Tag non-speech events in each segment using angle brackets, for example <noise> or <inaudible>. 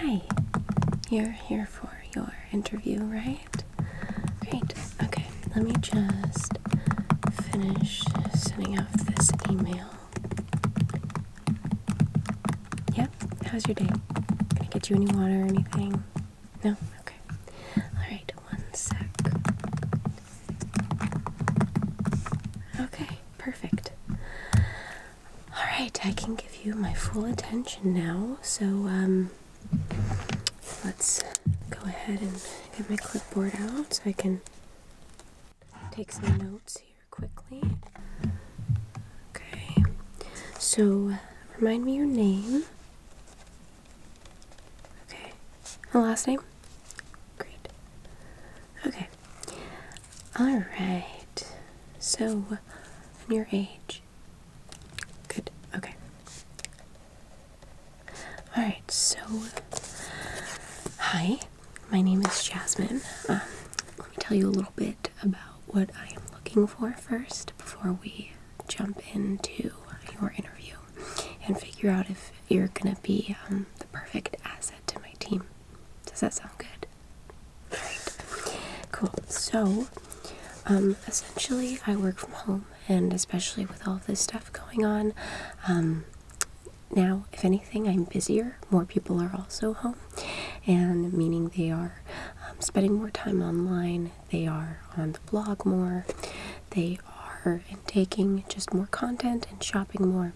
Hi, you're here for your interview, right? Great. Okay, let me just finish sending out this email. Yep, how's your day? Can I get you any water or anything? No? Okay. Alright, one sec. Okay, perfect. Alright, I can give you my full attention now, so um, let's go ahead and get my clipboard out so I can take some notes here quickly. Okay, so remind me your name. Okay, and last name? Great. Okay. All right. So, and your age? Good. Okay. All right. So, hi. My name is Jasmine. Um, let me tell you a little bit about what I am looking for first before we jump into your interview and figure out if you're going to be um, the perfect asset to my team. Does that sound good? Alright. Cool. So, um, essentially, I work from home, and especially with all this stuff going on, um, now, if anything, I'm busier. More people are also home, and meaning they are um, spending more time online, they are on the blog more, they are taking just more content and shopping more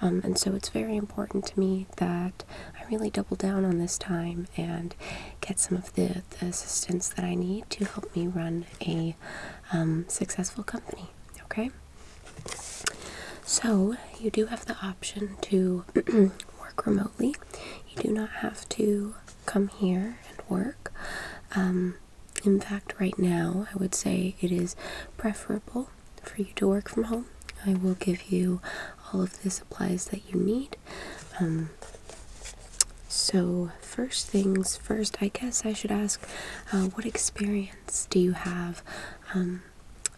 um, and so it's very important to me that I really double down on this time and get some of the, the assistance that I need to help me run a um, successful company. Okay? So you do have the option to <clears throat> work remotely. You do not have to come here and work. Um, in fact, right now, I would say it is preferable for you to work from home. I will give you all of the supplies that you need. Um, so, first things first, I guess I should ask uh, what experience do you have um,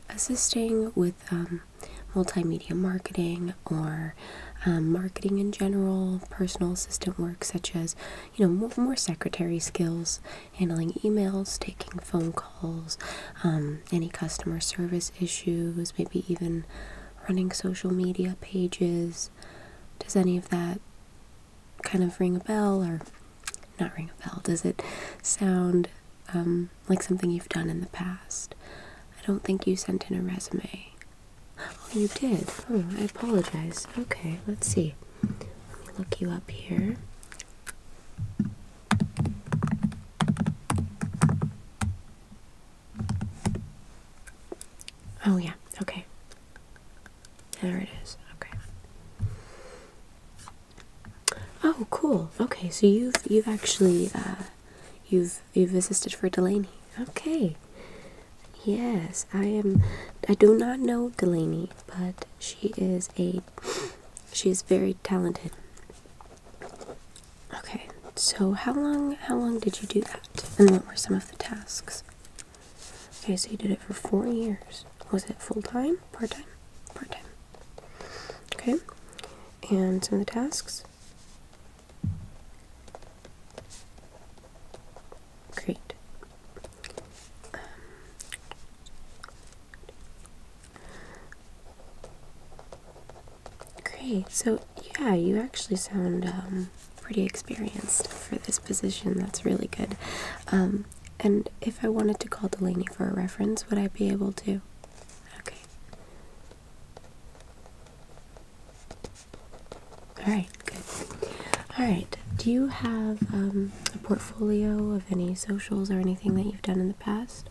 assisting with um, multimedia marketing or marketing in general, personal assistant work, such as, you know, more secretary skills, handling emails, taking phone calls, um, any customer service issues, maybe even running social media pages. Does any of that kind of ring a bell or not ring a bell? Does it sound um, like something you've done in the past? I don't think you sent in a resume. Oh, you did. Oh, I apologize. Okay, let's see. Let me look you up here. Oh, yeah, okay. There it is. Okay. Oh, cool. Okay, so you've you've actually uh, you've you've assisted for Delaney. Okay. Yes, I am. I do not know Delaney, but she is a she is very talented. Okay, so how long how long did you do that? And what were some of the tasks? Okay, so you did it for four years. Was it full time, part time, part time? Okay, and some of the tasks. Great. Um, great. So, yeah, you actually sound um, pretty experienced for this position. That's really good. Um, and if I wanted to call Delaney for a reference, would I be able to? Okay. All right, good. All right. Do you have portfolio of any socials or anything that you've done in the past.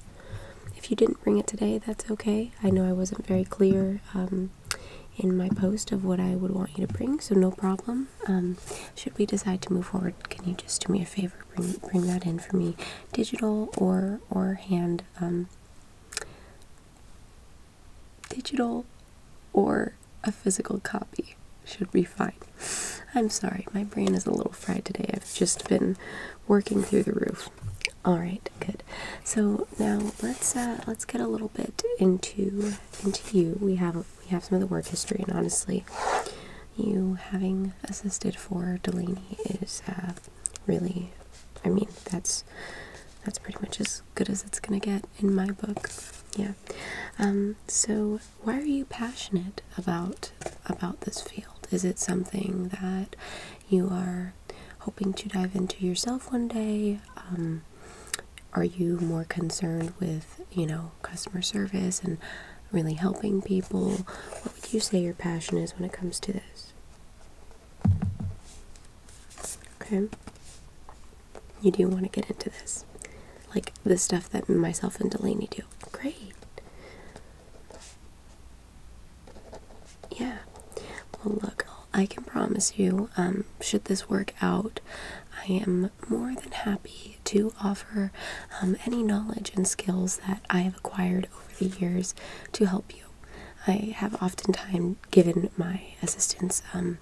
If you didn't bring it today, that's okay. I know I wasn't very clear um, in my post of what I would want you to bring, so no problem. Um, should we decide to move forward, can you just do me a favor, bring that in for me, digital or or hand, um, digital or a physical copy should be fine. I'm sorry, my brain is a little fried today. I've just been working through the roof. All right, good. So now let's uh, let's get a little bit into into you. We have we have some of the work history, and honestly, you having assisted for Delaney is uh, really, I mean, that's that's pretty much as good as it's gonna get in my book. Yeah. Um, so why are you passionate about about this field? Is it something that you are hoping to dive into yourself one day? Um, are you more concerned with you know customer service and really helping people? What would you say your passion is when it comes to this? Okay, you do want to get into this, like the stuff that myself and Delaney do great. Yeah. Well, look, I can promise you, um, should this work out, I am more than happy to offer um, any knowledge and skills that I have acquired over the years to help you. I have oftentimes given my assistance um,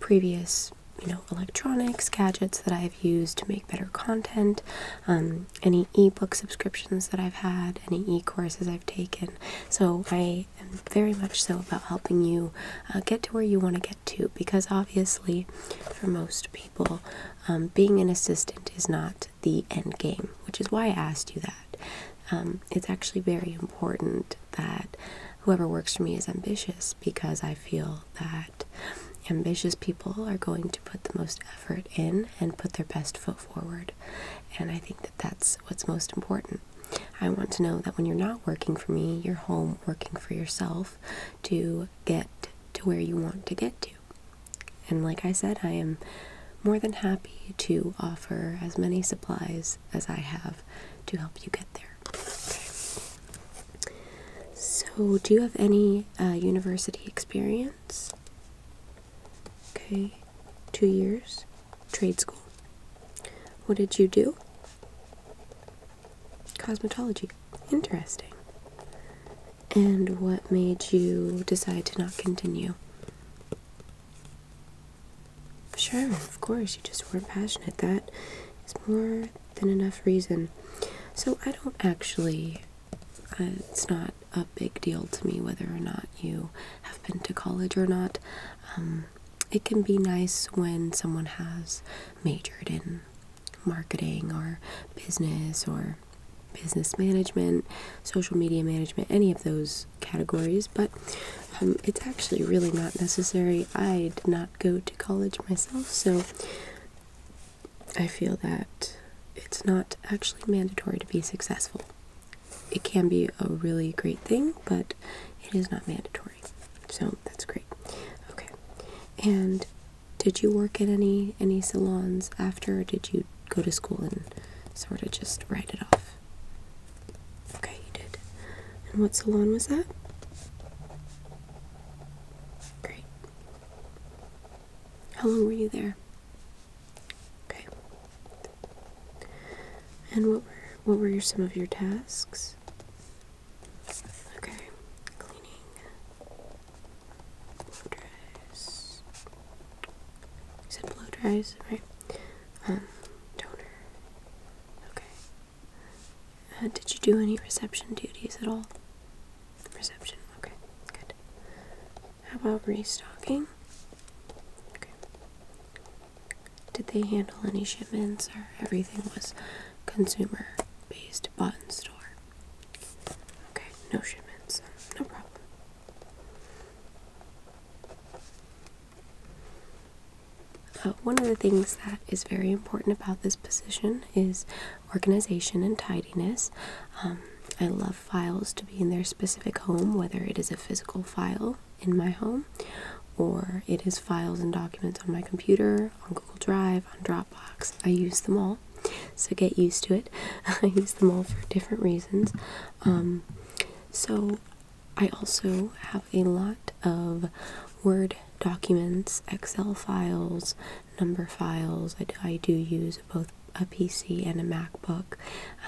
previous you know electronics gadgets that I've used to make better content, um, Any e-book subscriptions that I've had, any e-courses I've taken. So I am very much so about helping you uh, get to where you want to get to because obviously for most people um, being an assistant is not the end game, which is why I asked you that. Um, it's actually very important that whoever works for me is ambitious because I feel that ambitious people are going to put the most effort in and put their best foot forward. And I think that that's what's most important. I want to know that when you're not working for me, you're home working for yourself to get to where you want to get to. And like I said, I am more than happy to offer as many supplies as I have to help you get there. So, do you have any uh, university experience? Okay, two years, trade school. What did you do? Cosmetology. Interesting. And what made you decide to not continue? Sure, of course, you just were not passionate. That is more than enough reason. So I don't actually, uh, it's not a big deal to me whether or not you have been to college or not. Um, it can be nice when someone has majored in marketing or business or business management, social media management, any of those categories, but um, it's actually really not necessary. I did not go to college myself, so I feel that it's not actually mandatory to be successful. It can be a really great thing, but it is not mandatory. So that's great. Okay. And did you work at any any salons after or did you go to school and sort of just write it off? Okay, you did. And what salon was that? Great. How long were you there? Okay. And what were what were some of your tasks? Okay, cleaning, blow dries. You said blow dries, right? Um, toner. Okay. Uh, did you do any reception duties at all? Reception, okay, good. How about restocking? Okay. Did they handle any shipments or everything was consumer based, bought in store? Okay, no shipments, no problem. Uh, one of the things that is very important about this position is organization and tidiness. Um, I love files to be in their specific home, whether it is a physical file in my home or it is files and documents on my computer, on Google Drive, on Dropbox. I use them all, so get used to it. <laughs> I use them all for different reasons. Um, so, I also have a lot of Word documents, Excel files, number files. I do, I do use both a PC and a MacBook.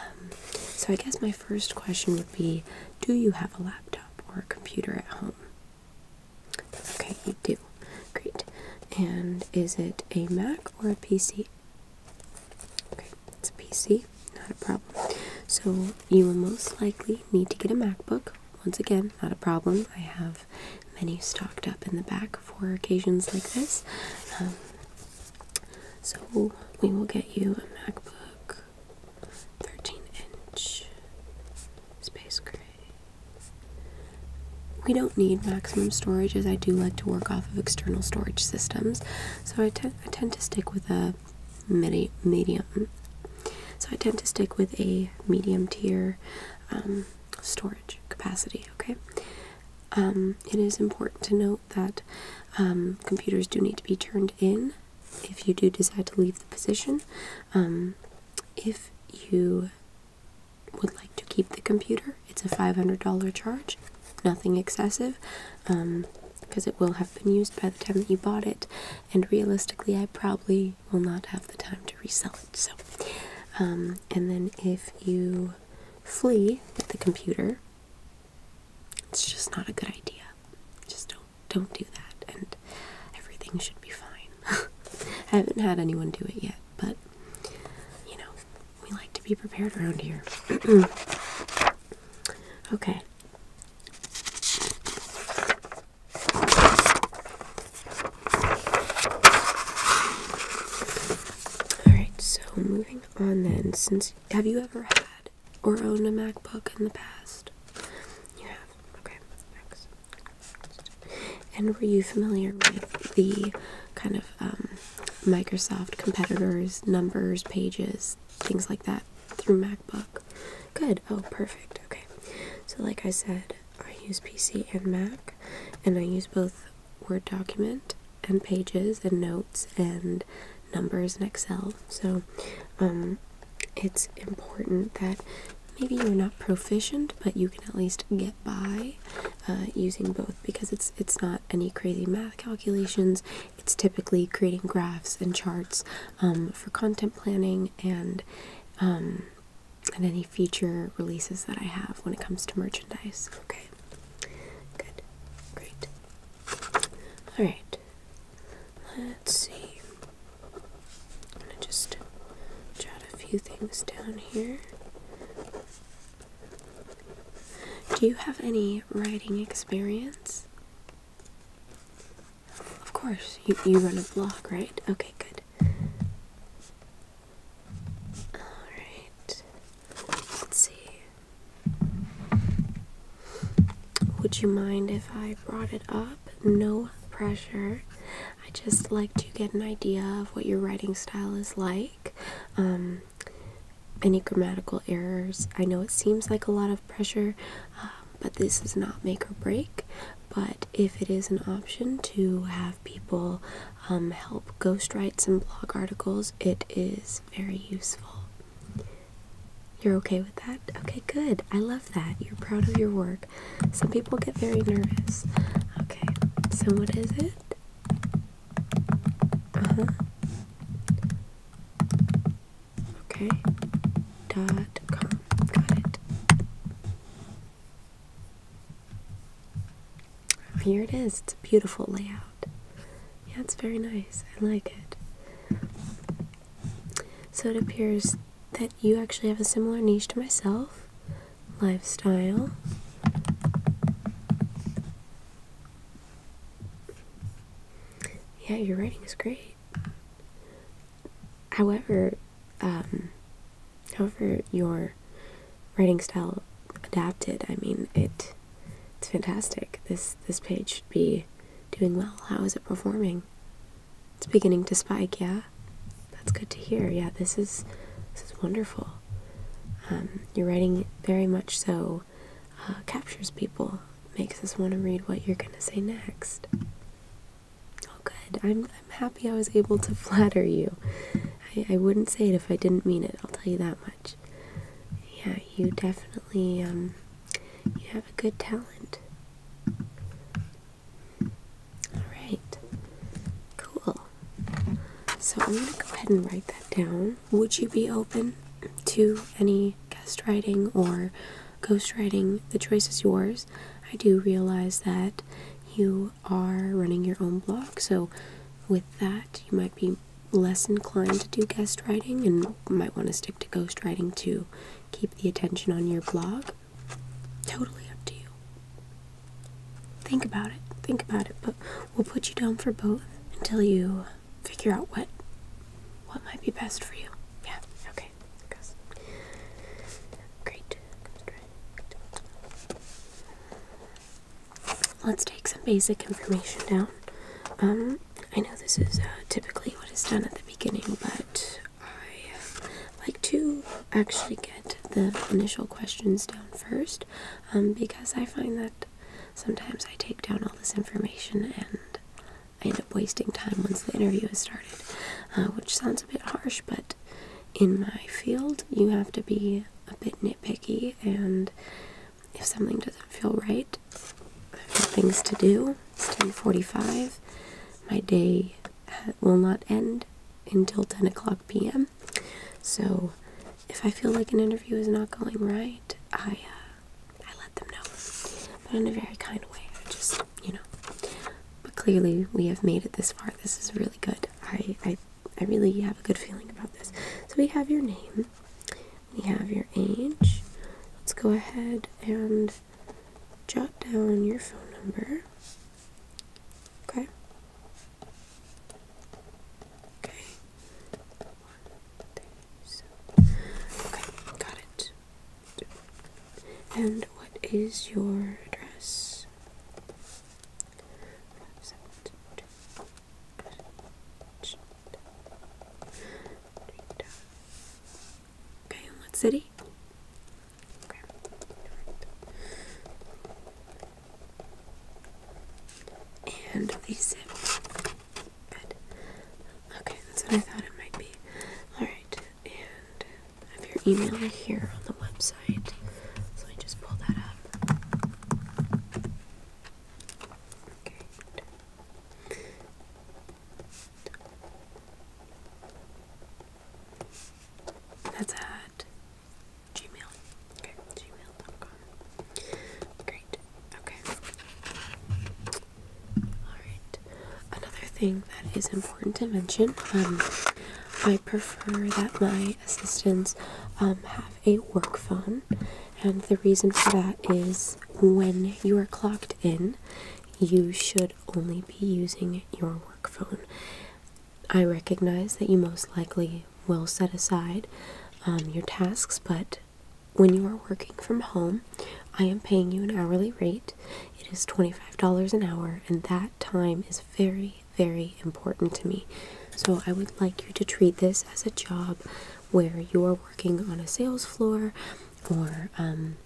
Um, so I guess my first question would be, do you have a laptop or a computer at home? Okay, you do. Great. And is it a Mac or a PC? Okay, it's a PC, not a problem. So you will most likely need to get a MacBook. Once again, not a problem. I have have many stocked up in the back for occasions like this. Um, so we will get you a MacBook 13 inch space gray. We don't need maximum storage as I do like to work off of external storage systems, so I, tend to stick with a medi medium. So I tend to stick with a medium tier um, storage capacity, okay? Um, it is important to note that um, computers do need to be turned in if you do decide to leave the position. Um, if you would like to keep the computer, it's a $500 charge, nothing excessive. because it will have been used by the time that you bought it, and realistically, I probably will not have the time to resell it. So, um, and then if you flee with the computer, it's just not a good idea. Just don't don't do that, and everything should be fine. <laughs> I haven't had anyone do it yet, but you know, we like to be prepared around here. <clears throat> okay. Alright, so moving on then, since have you ever had or owned a MacBook in the past? You have. Okay, next. And were you familiar with the kind of um, Microsoft competitors, numbers, pages, things like that through MacBook? Good. Oh, perfect. Okay. So, like I said, I use PC and Mac, and I use both Word document and pages and notes and numbers and Excel. So, um, it's important that maybe you're not proficient, but you can at least get by uh, using both because it's it's not any crazy math calculations. It's typically creating graphs and charts um, for content planning and um, and any future releases that I have when it comes to merchandise. Okay. Good. Great. Alright. Let's see. I'm gonna just jot a few things down here. Do you have any writing experience? Of course. You, you run a blog, right? Okay, good. Alright. Let's see. Would you mind if I brought it up? No pressure. I just like to get an idea of what your writing style is like. Um, any grammatical errors. I know it seems like a lot of pressure, uh, but this does not make or break. But if it is an option to have people um, help ghostwrite some blog articles, it is very useful. You're okay with that? Okay, good. I love that. You're proud of your work. Some people get very nervous. Okay, so what is it? Uh huh. Okay. Dot com. Got it. Here it is. It's a beautiful layout. Yeah, it's very nice. I like it. So it appears that you actually have a similar niche to myself lifestyle. Yeah, your writing is great. However, um, however your writing style adapted, I mean it it's fantastic. This this page should be doing well. How is it performing? It's beginning to spike, yeah? That's good to hear. Yeah, this is this wonderful. Um, your writing very much so uh, captures people, makes us want to read what you're going to say next. Oh, good. I'm, I'm happy I was able to <laughs> flatter you. I, I wouldn't say it if I didn't mean it, I'll tell you that much. Yeah, you definitely, um, you have a good talent. Alright. Cool. So I'm going to go ahead and write that down. Would you be open to any guest writing or ghost writing? The choice is yours. I do realize that you are running your own blog. So, with that, you might be less inclined to do guest writing and might want to stick to ghost writing to keep the attention on your blog. Totally up to you. Think about it. Think about it. But we'll put you down for both until you figure out what what might be best for you. Yeah. Okay. Great. Let's take some basic information down. Um, I know this is uh, typically what is done at the beginning, but I uh, like to actually get the initial questions down first um, because I find that sometimes I take down all this information and I end up wasting time once the interview has started, uh, which sounds a bit harsh, but in my field, you have to be a bit nitpicky, and if something doesn't feel right, I have things to do. It's 10:45. My day will not end until 10 o'clock p.m. So, if I feel like an interview is not going right, I uh, I let them know, but in a very kind way. I just you know. But clearly, we have made it this far. This is really really good. I, I, I really have a good feeling about this. So we have your name, we have your age. Let's go ahead and jot down your phone number. Okay. Okay. One, two, seven. Okay, got it. And what is your address? Okay, and what city? Okay. And the zip. Good. Okay, that's what I thought it might be. Alright, and I have your email here on the website. So let just pull that up. That's at Gmail. Okay, gmail.com. Great. Okay. Alright. Another thing that is important important to mention. Um, I prefer that my assistants um, have a work phone, and the reason for that is when you are clocked in, you should only be using your work phone. I recognize that you most likely will set aside um, your tasks, but when you are working from home, I am paying you an hourly rate. It is $25 an hour, and that time is very very, important to me. So I would like you to treat this as a job where you're working on a sales floor or um,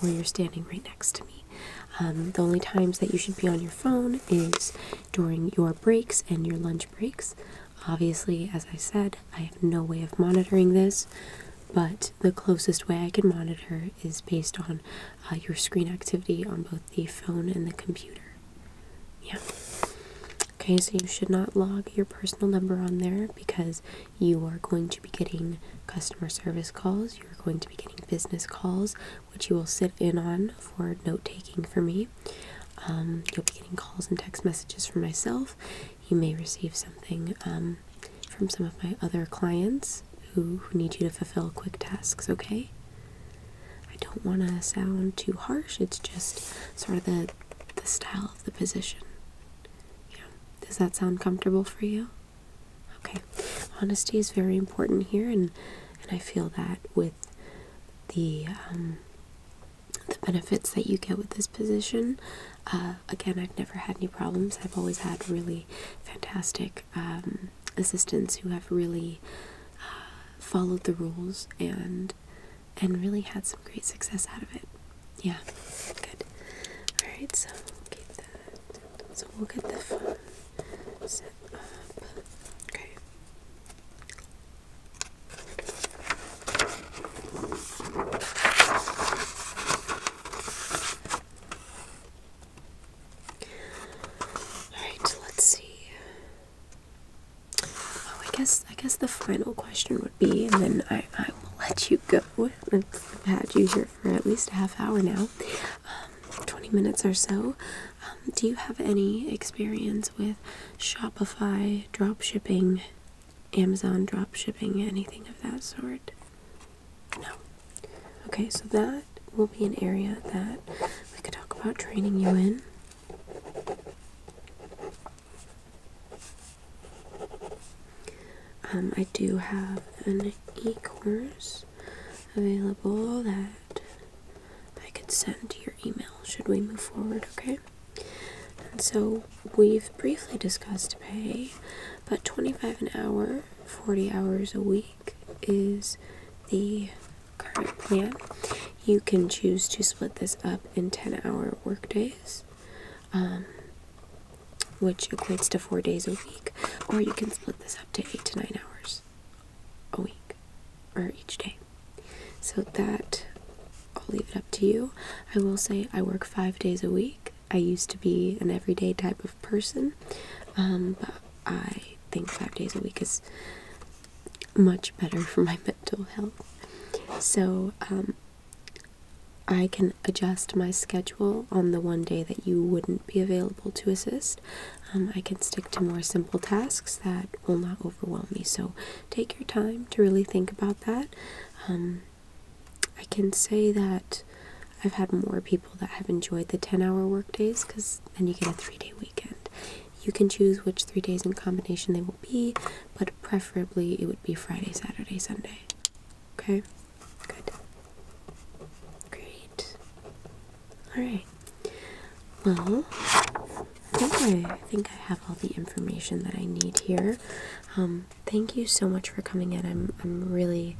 where you're standing right next to me. Um, the only times that you should be on your phone is during your breaks and your lunch breaks. Obviously, as I said, I have no way of monitoring this, but the closest way I can monitor is based on uh, your screen activity on both the phone and the computer. Yeah. Okay, so you should not log your personal number on there because you are going to be getting customer service calls, you're going to be getting business calls, which you will sit in on for note taking for me. Um, you'll be getting calls and text messages from myself. You may receive something um, from some of my other clients who, who need you to fulfill quick tasks, okay? I don't want to sound too harsh, it's just sort of the, the style of the position. Yeah, does that sound comfortable for you? Okay, honesty is very important here, and, and I feel that with the, um, the benefits that you get with this position. Uh, again, I've never had any problems. I've always had really fantastic tech um, assistants who have really uh, followed the rules and and really had some great success out of it. Yeah, good. All right, so we'll keep that. So we'll get the phone set up. Okay. Alright, let's see. Oh, I guess I guess the final question would be, and then I, I will let you go. I've had you here for at least a half hour now, um, 20 minutes or so. Um, do you have any experience with Shopify drop shipping, Amazon drop shipping, anything of that sort? No. Okay, so that will be an area that we could talk about training you in. Um, I do have an e course available that I could send to your email should we move forward, okay? And so we've briefly discussed pay, but 25 an hour, 40 hours a week is the current plan. You can choose to split this up in 10 hour work days, um, which equates to four days a week, or you can split this up to eight to nine hours a week or each day. So that I'll leave it up to you. I will say I work five days a week. I used to be an everyday type of person. Um, but I think five days a week is much better for my <laughs> mental health. So um, I can adjust my schedule on the one day that you wouldn't be available to assist. Um, I can stick to more simple tasks that will not overwhelm me. So take your time to really think about that. I can say that I've had more people that have enjoyed the 10 hour work days because then you get a three day weekend. You can choose which three days in combination they will be, but preferably it would be Friday, Saturday, Sunday. Okay? Good. Great. Alright. Well, I think I, think I have all the information that I need here. Um, thank you so much for coming in. I'm I'm really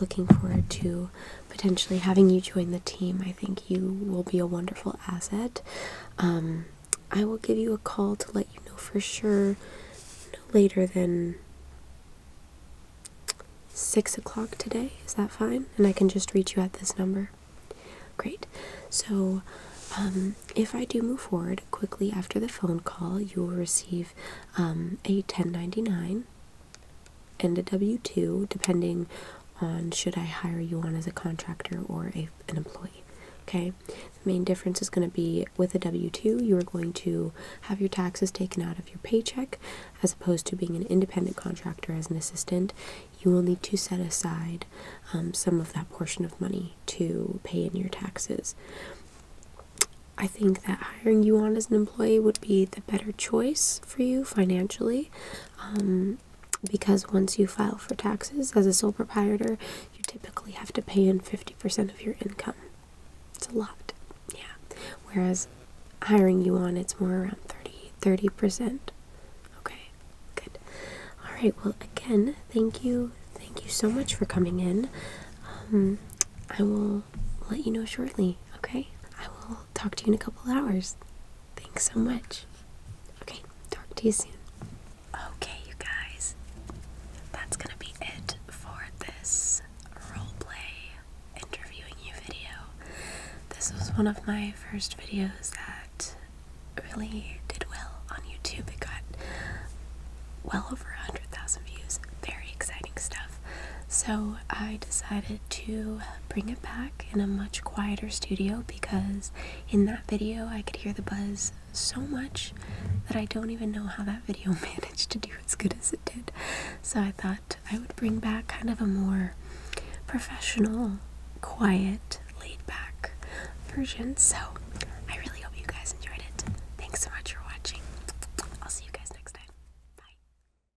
looking forward to potentially having you join the team, I think you will be a wonderful asset. Um, I will give you a call to let you know for sure no later than six o'clock today. Is that fine? And I can just reach you at this number. Great. So, um, if I do move forward quickly after the phone call, you will receive um, a 1099 and a W-2 depending on should I hire you on as a contractor or a, an employee. Okay, the main difference is going to be with a W 2, you are going to have your taxes taken out of your paycheck as opposed to being an independent contractor as an assistant. You will need to set aside um, some of that portion of money to pay in your taxes. I think that hiring you on as an employee would be the better choice for you financially um, because once you file for taxes as a sole proprietor, you typically have to pay in 50% of your income. It's a lot, yeah. Whereas hiring you on, it's more around 30, percent Okay, good. All right, well, again, thank you. Thank you so much for coming in. Um, I will let you know shortly, okay? I will talk to you in a couple hours. Thanks so much. Okay, talk to you soon. Okay, you guys, that's gonna be it for this role play interviewing you video. This was one of my first videos that really did well on YouTube. It got well over 100,000 views. Very exciting stuff. So I decided to bring it back in a much quieter studio because in that video I could hear the buzz so much that I don't even know how that video <laughs> managed to do as good as it did. So I thought I would bring back kind of a more professional, quiet, laid back version. So I really hope you guys enjoyed it. Thanks so much for watching. I'll see you guys next time. Bye.